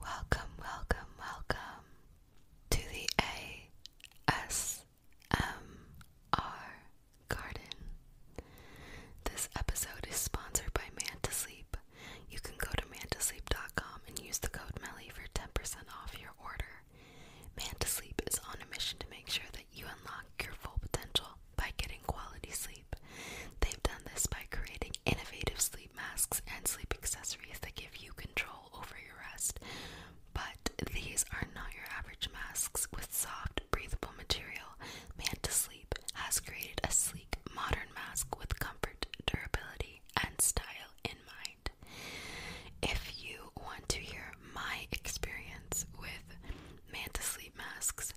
Welcome, welcome, welcome to the ASMR Garden. This episode is sponsored by Man to Sleep. You can go to mantasleep.com and use the code MELLY for 10% off your order. Man to Sleep is on a mission to make sure that you unlock your full potential by getting quality sleep. They've done this by creating innovative sleep masks and sleep accessories that give you control over your rest, but these are not your average masks with soft, breathable material. Man to Sleep has created a sleek, modern mask with comfort, durability, and style in mind. If you want to hear my experience with Man to Sleep masks,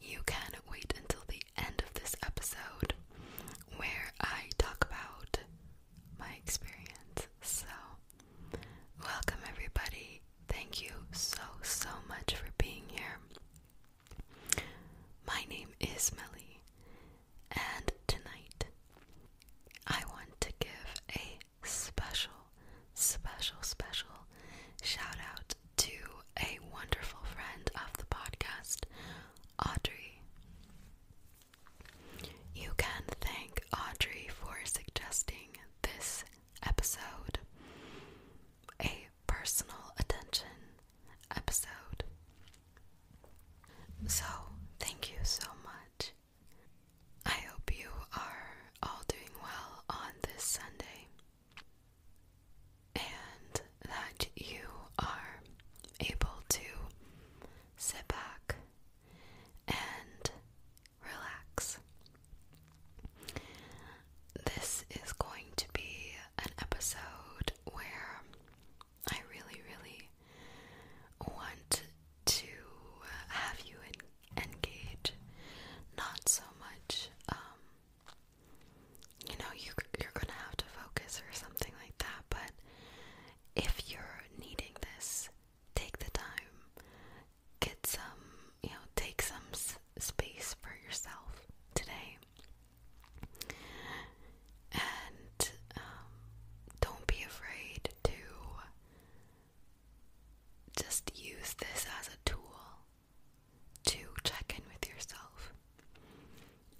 you can wait until the end of this episode where I talk about my experience. So, welcome everybody. Thank you so, so much for being here. My name is Melly, and tonight I want to give a special, special, special shout out to a wonderful friend of the podcast, Audrey. You can thank Audrey for suggesting this episode, a personal attention episode. So, thank you so much. I hope you are all doing well on this Sunday and that you are able to sit back and relax. This is going to be an episode where I really, really want to have you engage not so much um, you know you you're gonna have to focus or something like that. But if you're needing this, take the time, get some, you know, take some space for yourself today, and um, don't be afraid to. Just use this as a tool to check in with yourself.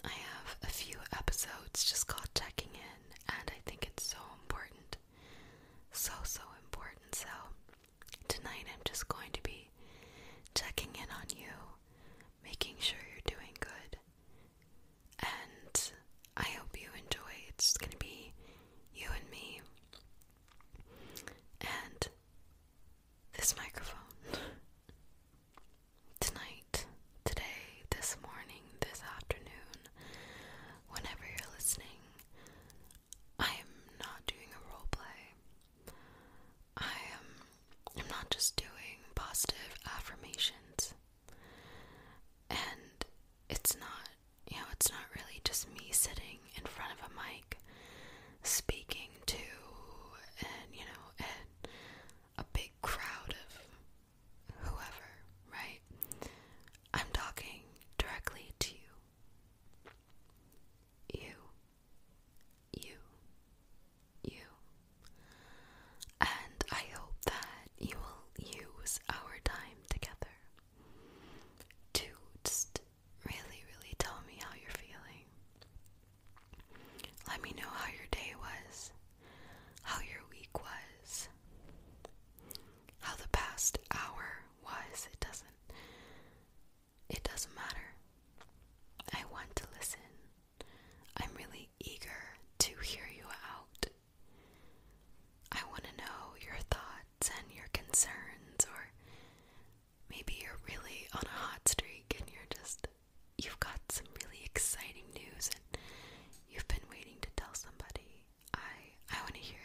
I have a few episodes just called Checking In, and I think it's so important. So, so important. So, tonight I'm just going to be checking in on you, making sure you're doing good, and I hope you enjoy. It's going to be you and me, and this microphone. tonight, today, this morning, this afternoon, whenever you're listening, I am not doing a role play. I am not just doing positive affirmations. And it's not, you know, it's not really just me sitting in front of a mic speaking to and, you know, and a big crowd of whoever, right? I'm talking directly to you. You. You. You. And I hope that you will use our time together to just really, really tell me how you're feeling. Let me know how your day was, how your week was, how the past hour was. It doesn't it doesn't matter. I want to listen. I'm really eager to hear you out. I want to know your thoughts and your concerns, or maybe you're really on a hot streak and you're just you've got some really exciting news and you've been waiting to tell somebody. I I want to hear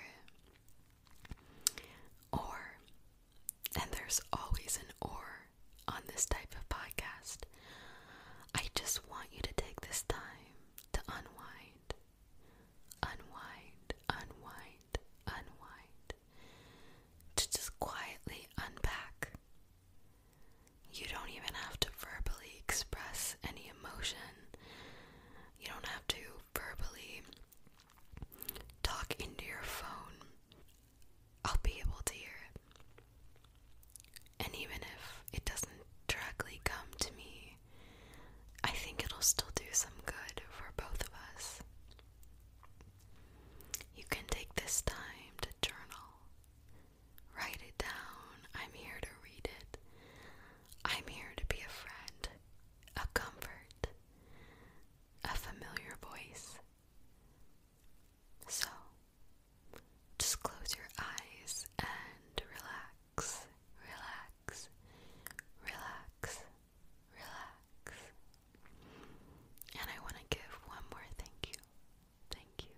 it. Or and there's always an or on this type of podcast. I just want you to take this time to unwind. Unwind, unwind, unwind. To just quietly unpack you don't even have to verbally express any emotion. You don't have to verbally talk into your phone. I'll be able to hear it. And even if it doesn't directly come to me, I think it'll still do some good for both of us. You can take this time to journal. Write it down. I'm here to read it. I'm here to be a friend, a comfort, a familiar voice. So, just close your eyes and relax, relax, relax, relax. And I want to give one more thank you. Thank you.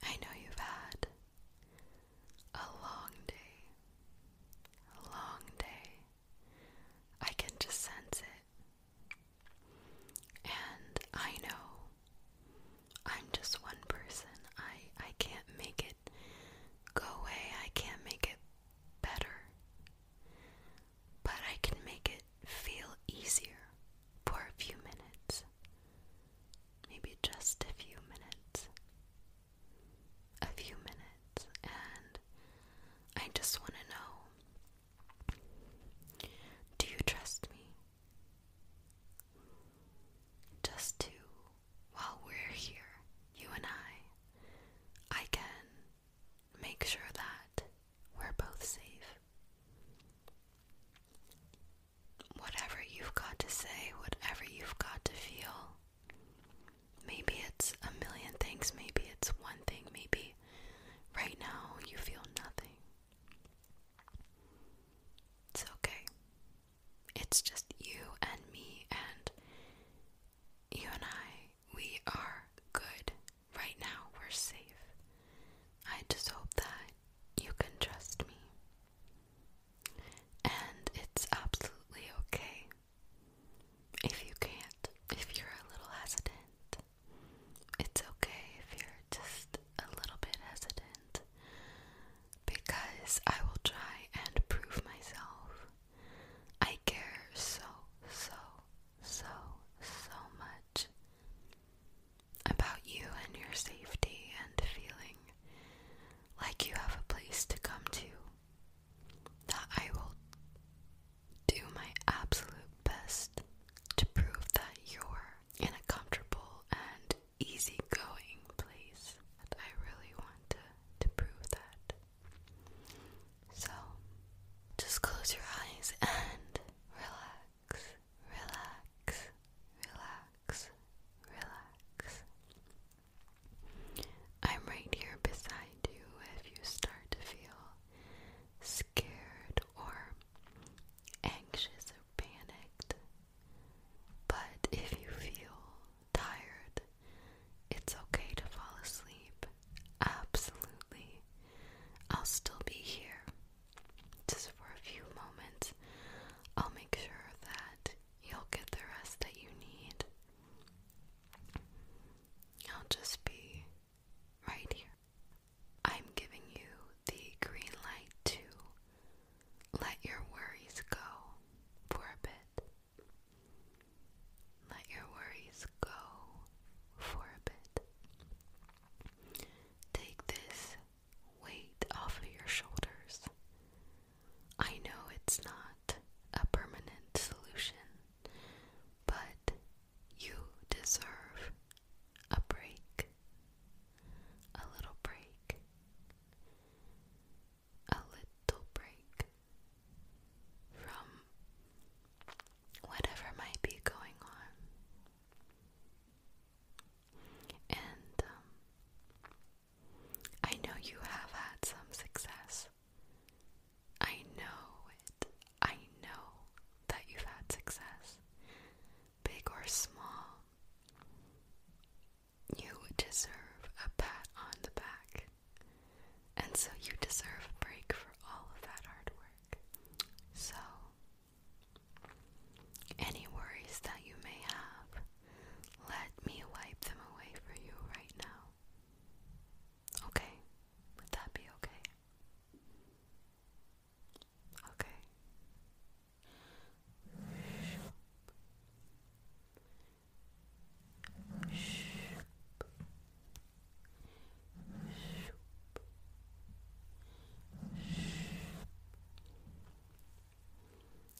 Thank you. I know you've had a long day. A long day. I can just sense it. And I know I'm just one person. I I can't make it go away. I can't make it better but I can make it feel easier for a few minutes. Maybe just a few minutes. A few minutes, and I just want to know do you trust me? Just to, while we're here, you and I, I can make sure that we're both safe. Whatever you've got to say, whatever you've got to feel, maybe it's a million things, maybe it's one thing, maybe right now you feel nothing. It's okay. It's just you and me, and you and I we are good. Right now, we're safe. I just hope that you can trust me. And it's absolutely okay if you can't, if you're a little hesitant. It's okay if you're just a little bit hesitant because I will try and prove myself I care so, so, so, so much about you and your safety and feeling like you have a place to come to that I will do my absolute best to prove that you're in a comfortable and easygoing place. And I really want to prove that so just close your eyes and relax, relax, relax, relax. I'm right here beside you if you start to feel scared or anxious or panicked. But if you feel tired, it's okay to fall asleep. Absolutely. I'll still be here. Just for a few moments, I'll make sure that you'll get the rest that you need. I'll just be right here. I'm giving you the green light to let your worries go for a bit. Let your worries go for a bit. Take this weight off of your shoulders. I know it's not a permanent solution, but you deserve a break. A little break a little break from whatever might be going on. And um, I know you have had some success. I know it. I know that you've had success, big or small. You deserve a pat on the back. And so you deserve a break for all of that hard work. So, any worries that you may have, let me wipe them away for you right now. Okay? Would that be okay? Okay.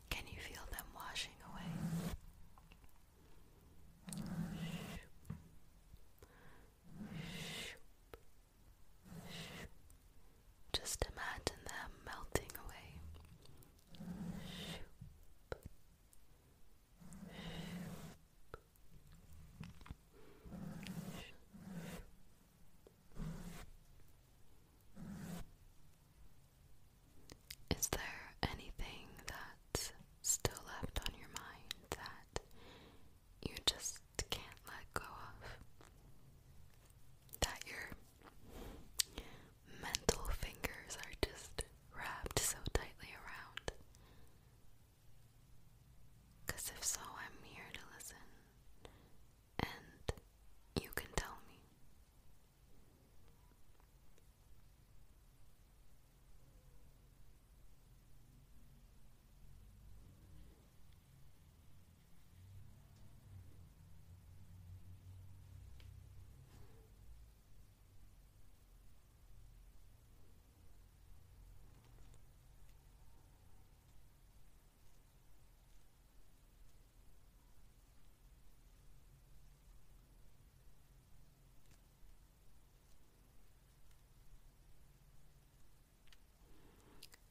Can you feel them washing away? Just imagine them melting away. Is there anything that's still left on your mind that you just can't let go of? That you're mental fingers are just wrapped so tightly around. Because if so, I'm here to listen. And you can tell me.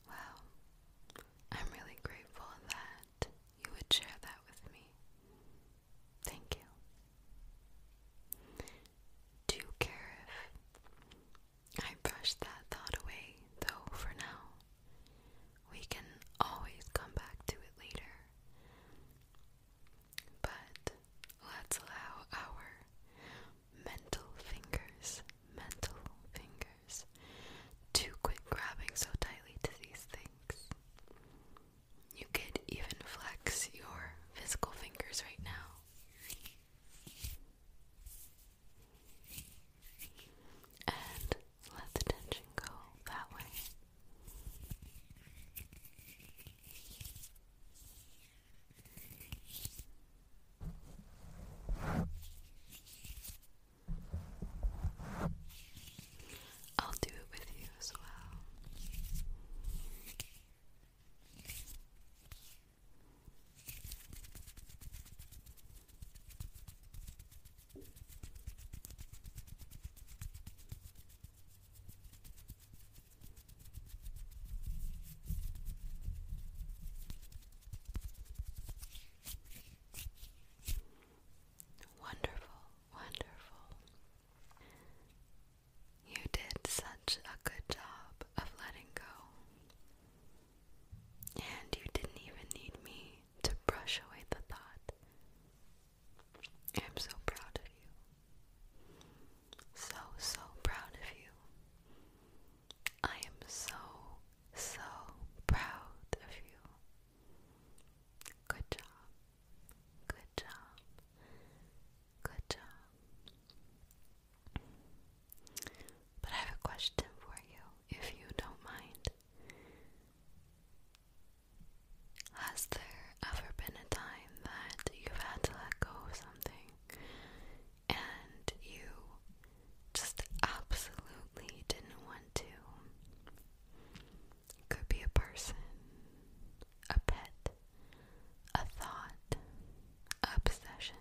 Wow, I'm really grateful that you would share that with me. Thank you. Do care if I brush that thought away, though, for now? We can always come back to it later. But let's allow our mental fingers, mental fingers, to quit grabbing so tightly to these things. You could even flex your physical fingers right now. And let the tension go that way. I'll do it with you as well. Wonderful, wonderful. You did such a good job of letting go. And you didn't even need me to brush away the thought. I'm so proud of you. So, so proud of you. I am so, so proud of you. Good job. Good job. Good job. But I have a question for you, if you don't mind. Has there ever been a time that you've had to let go something and you just absolutely didn't want to? Could be a person, a pet, a thought, obsession.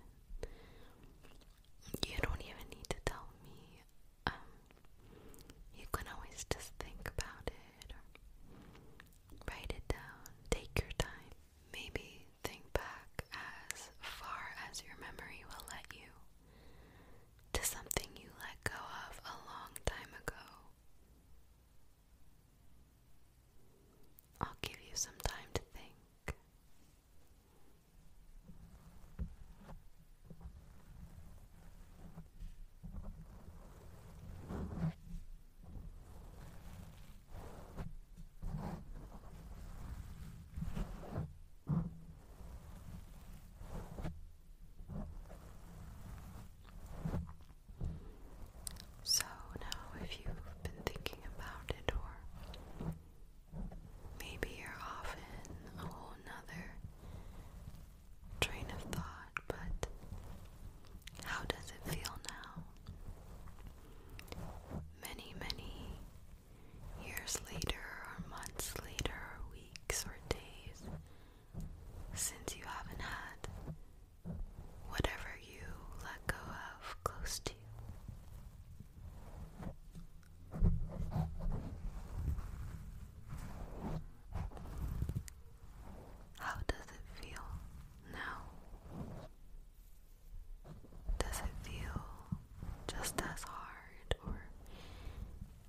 You don't even need to tell me. Um, you can always just think about it or write it down. Take your time. Maybe think back as far as your memory will let you to something you let go of a long time ago. I'll give you some time to think. So now, if you've been thinking about it, or maybe you're off in a whole nother train of thought, but how does it feel now? Many, many years later, or months later, or weeks or days since you haven't had whatever you let go of close to you. How does it feel now? Does it feel just as hard or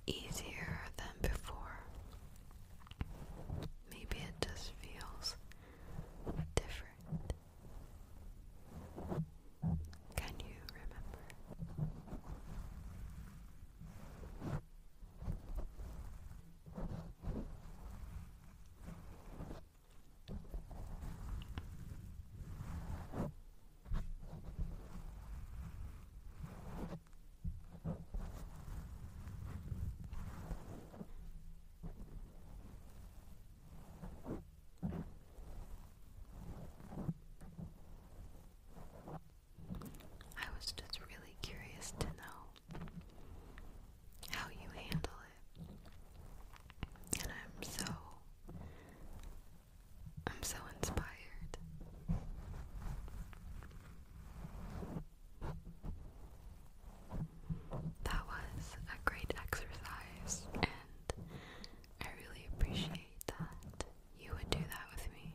easier than before. Maybe it just feels different. Can you remember? I was just really curious to know how you handle it. And I'm so I'm so inspired. That was a great exercise, and I really appreciate that you would do that with me.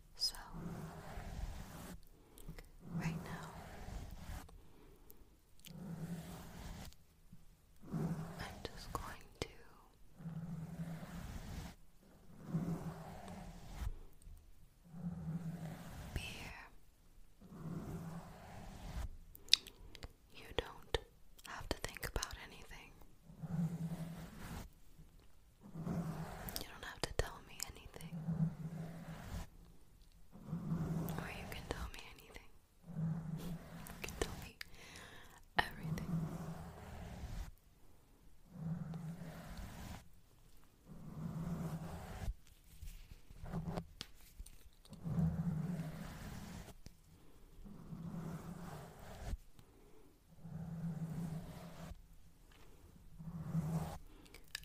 So, right now, I'm just going to be here. You don't have to think about anything. You don't have to tell me anything. Or you can tell me anything. You can tell me everything.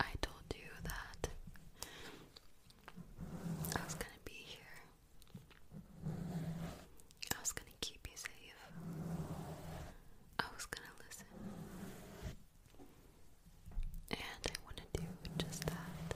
I told you that I was gonna be here. I was gonna keep you safe. I was gonna listen. And I wanna do just that.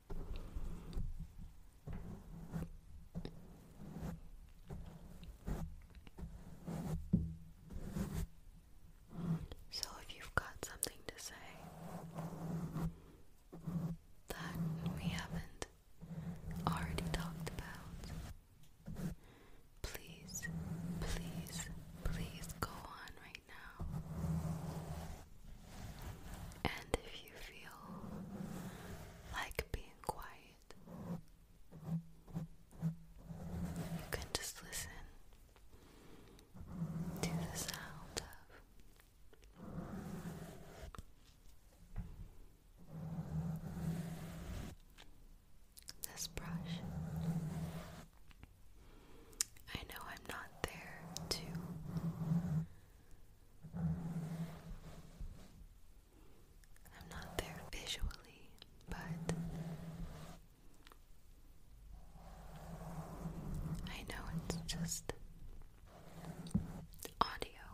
So, if you've got something to say that we haven't already talked about, please, please, please go on right now. And if you feel like being quiet, you can just listen to the sound of this brush. I know I'm not there to I'm not there visually, but I know it's just audio.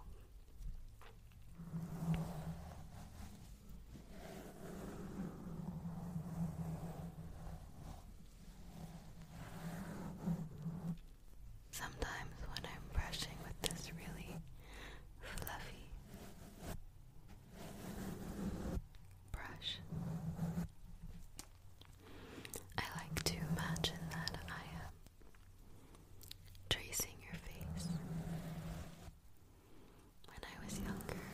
Sometimes when I'm brushing with this really fluffy brush, I like to imagine that I am tracing your face. When I was younger,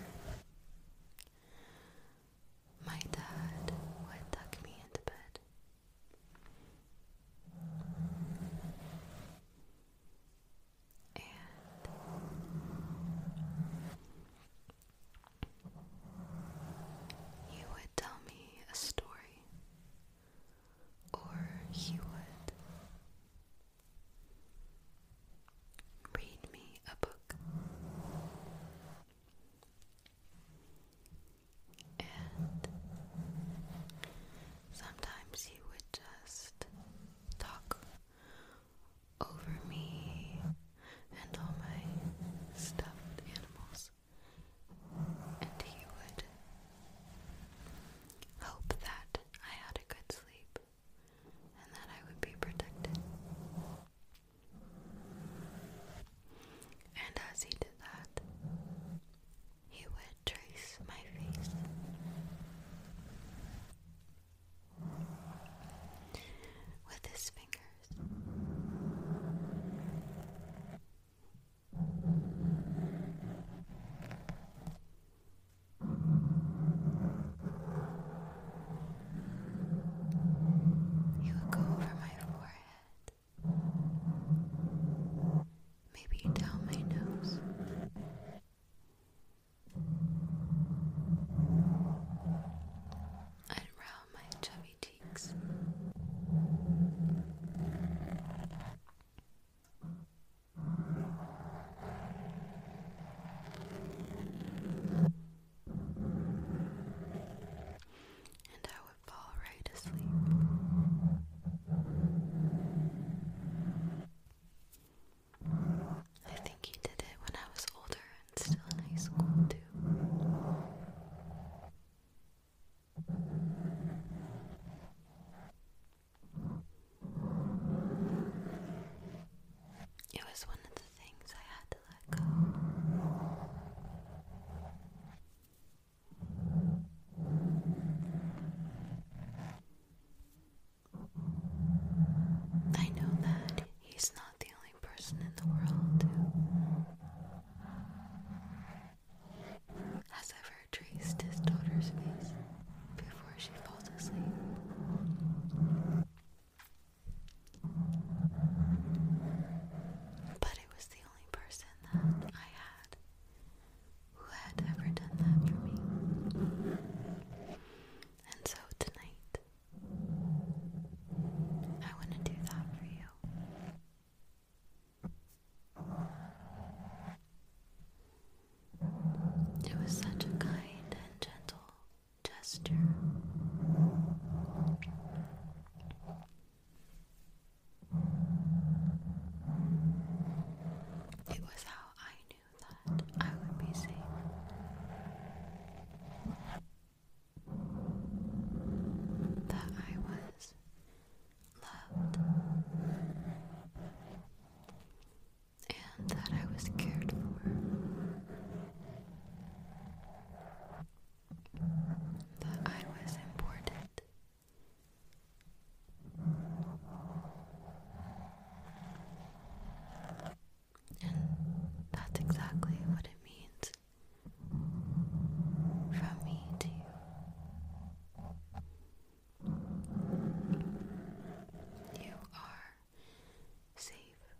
my dad would tuck me into bed and he would tell me a story, or he would read me a book and sometimes he would just talk over me and all my stuffed animals, and he would hope that I had a good sleep and that I would be protected and as he did that, he would trace my face. With his fingers, he would go over my forehead maybe down my nose. And my chubby cheeks. And I fall right asleep. I think he did it when I was older and still in high school, too. It was one of the things I had to let go. I know that he's not the only person in the world who has ever traced his daughter's face before she falls asleep. But it was the the only person that I had who had ever done that for me. And so tonight, I want to do that for you. It was such a kind and gentle gesture. It was how I knew that I would be safe. That I was loved. And that I was cared for that I was important. And that's exactly what it means from me to you. You are safe,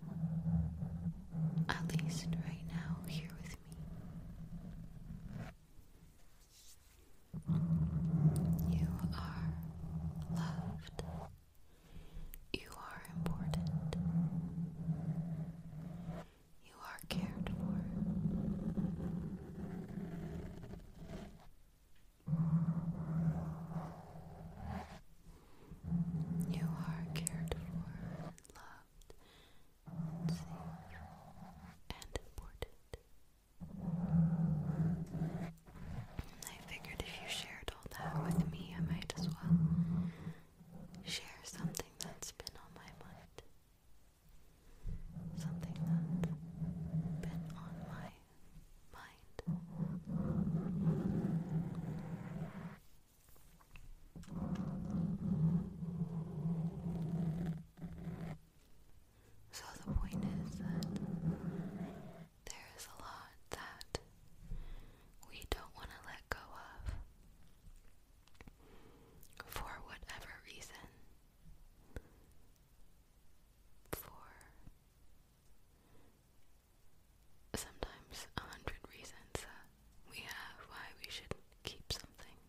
at least right now, here with you are loved. You are important. You are cared for. You are cared for, loved, and important. I figured if you shared all that with me, I might as well share something that's been on my mind. Something that's been on my mind. So the point is that there is a lot that we don't want to let go of for whatever reason. For sometimes a hundred reasons we have, why we should keep something,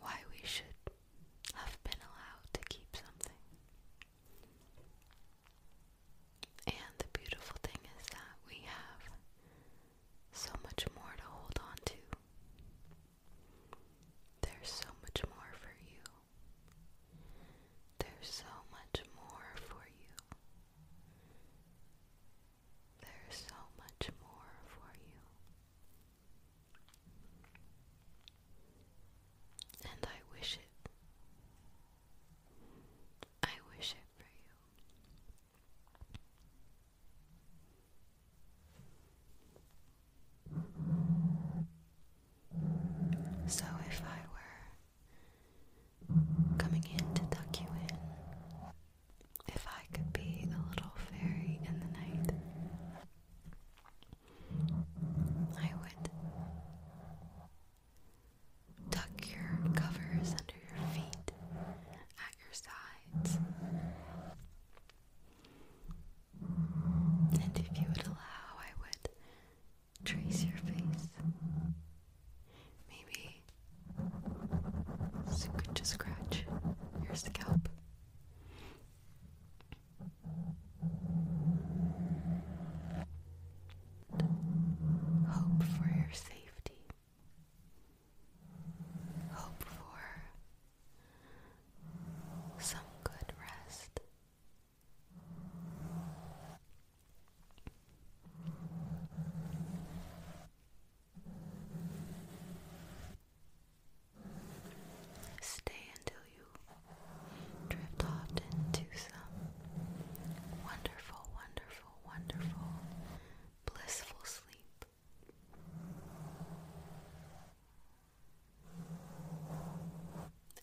why we should have been allowed to keep something. And the beautiful thing is that we have so much more to hold on to. There's so much more for you. There's so much more for you. There's so much more for you. And I wish it. I wish it for you. So, if I were coming in to tuck you in. If I could be a little fairy in the night, I would tuck your covers under your feet at your sides. And if you would allow, I would trace your face Maybe so you could scratch your scalp. Hope for your safety. Hope for some good rest. Stay until you drift off into some wonderful, wonderful, wonderful, blissful sleep.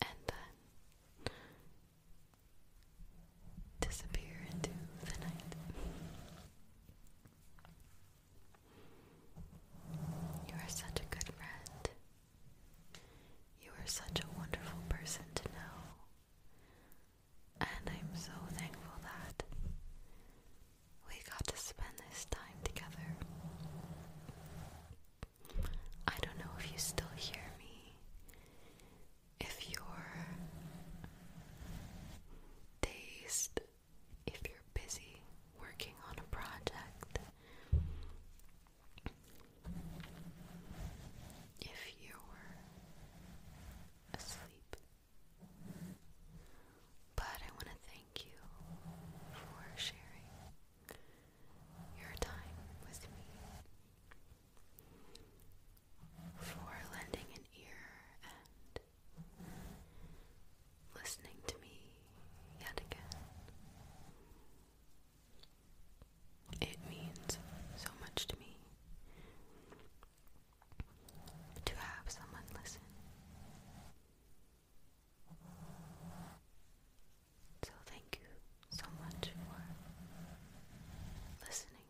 And then disappear into the night. You are such a good friend. You are such a wonderful person to know. And I'm so thankful that we got to spend this time together. I don't know if you still hear me if your taste, if you're busy working on a project, if you were asleep. But I want to thank you for sharing your time with me for lending an ear and listening to me yet again. It means so much to me to have someone listen. So, thank you so much for listening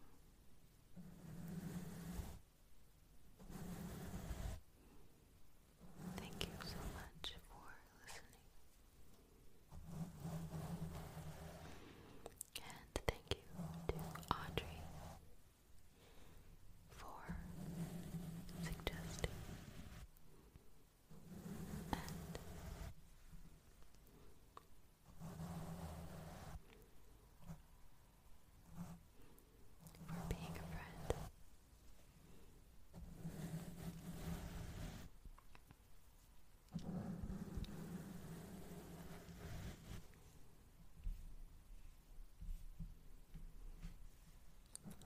Thank you so much for listening. And thank you to Audrey for suggesting for being a friend.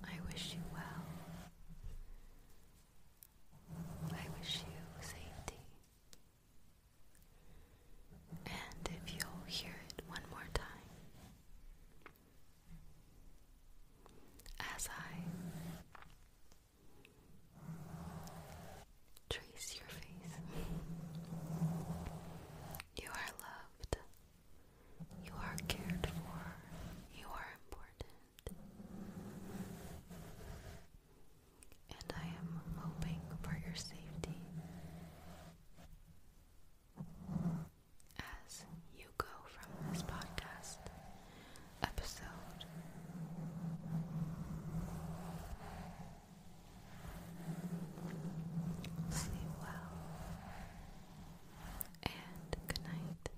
I wish you well. I wish you safety. And if you'll hear it one more time as I trace your face, you are loved, you are cared for, you are important and I am hoping for your safety as you go from this podcast episode. Sleep well and good night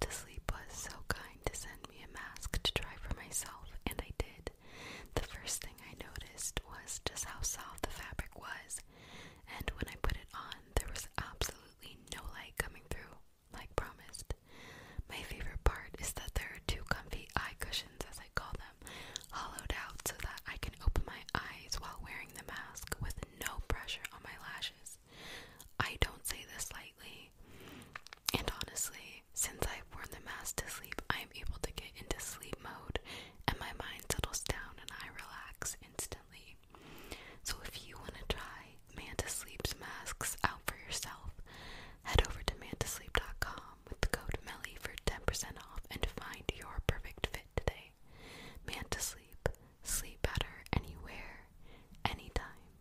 to Sleep was so kind to send me a mask to try for myself, and I did. The first thing I noticed was just how soft the fabric was, and when I put it on, there was absolutely no light coming through, like promised. My favorite part is that there are two comfy eye cushions, as I call them, hollowed out so that I can open my eyes while wearing the mask with no pressure on my lashes. I don't say this like. And honestly, since I've worn the mask to sleep, I am able to get into sleep mode and my mind settles down and I relax instantly. So if you want to try Manta Sleep's masks out for yourself, head over to mantasleep.com with the code MELLY for 10% off and find your perfect fit today. Manta Sleep, sleep better anywhere, anytime.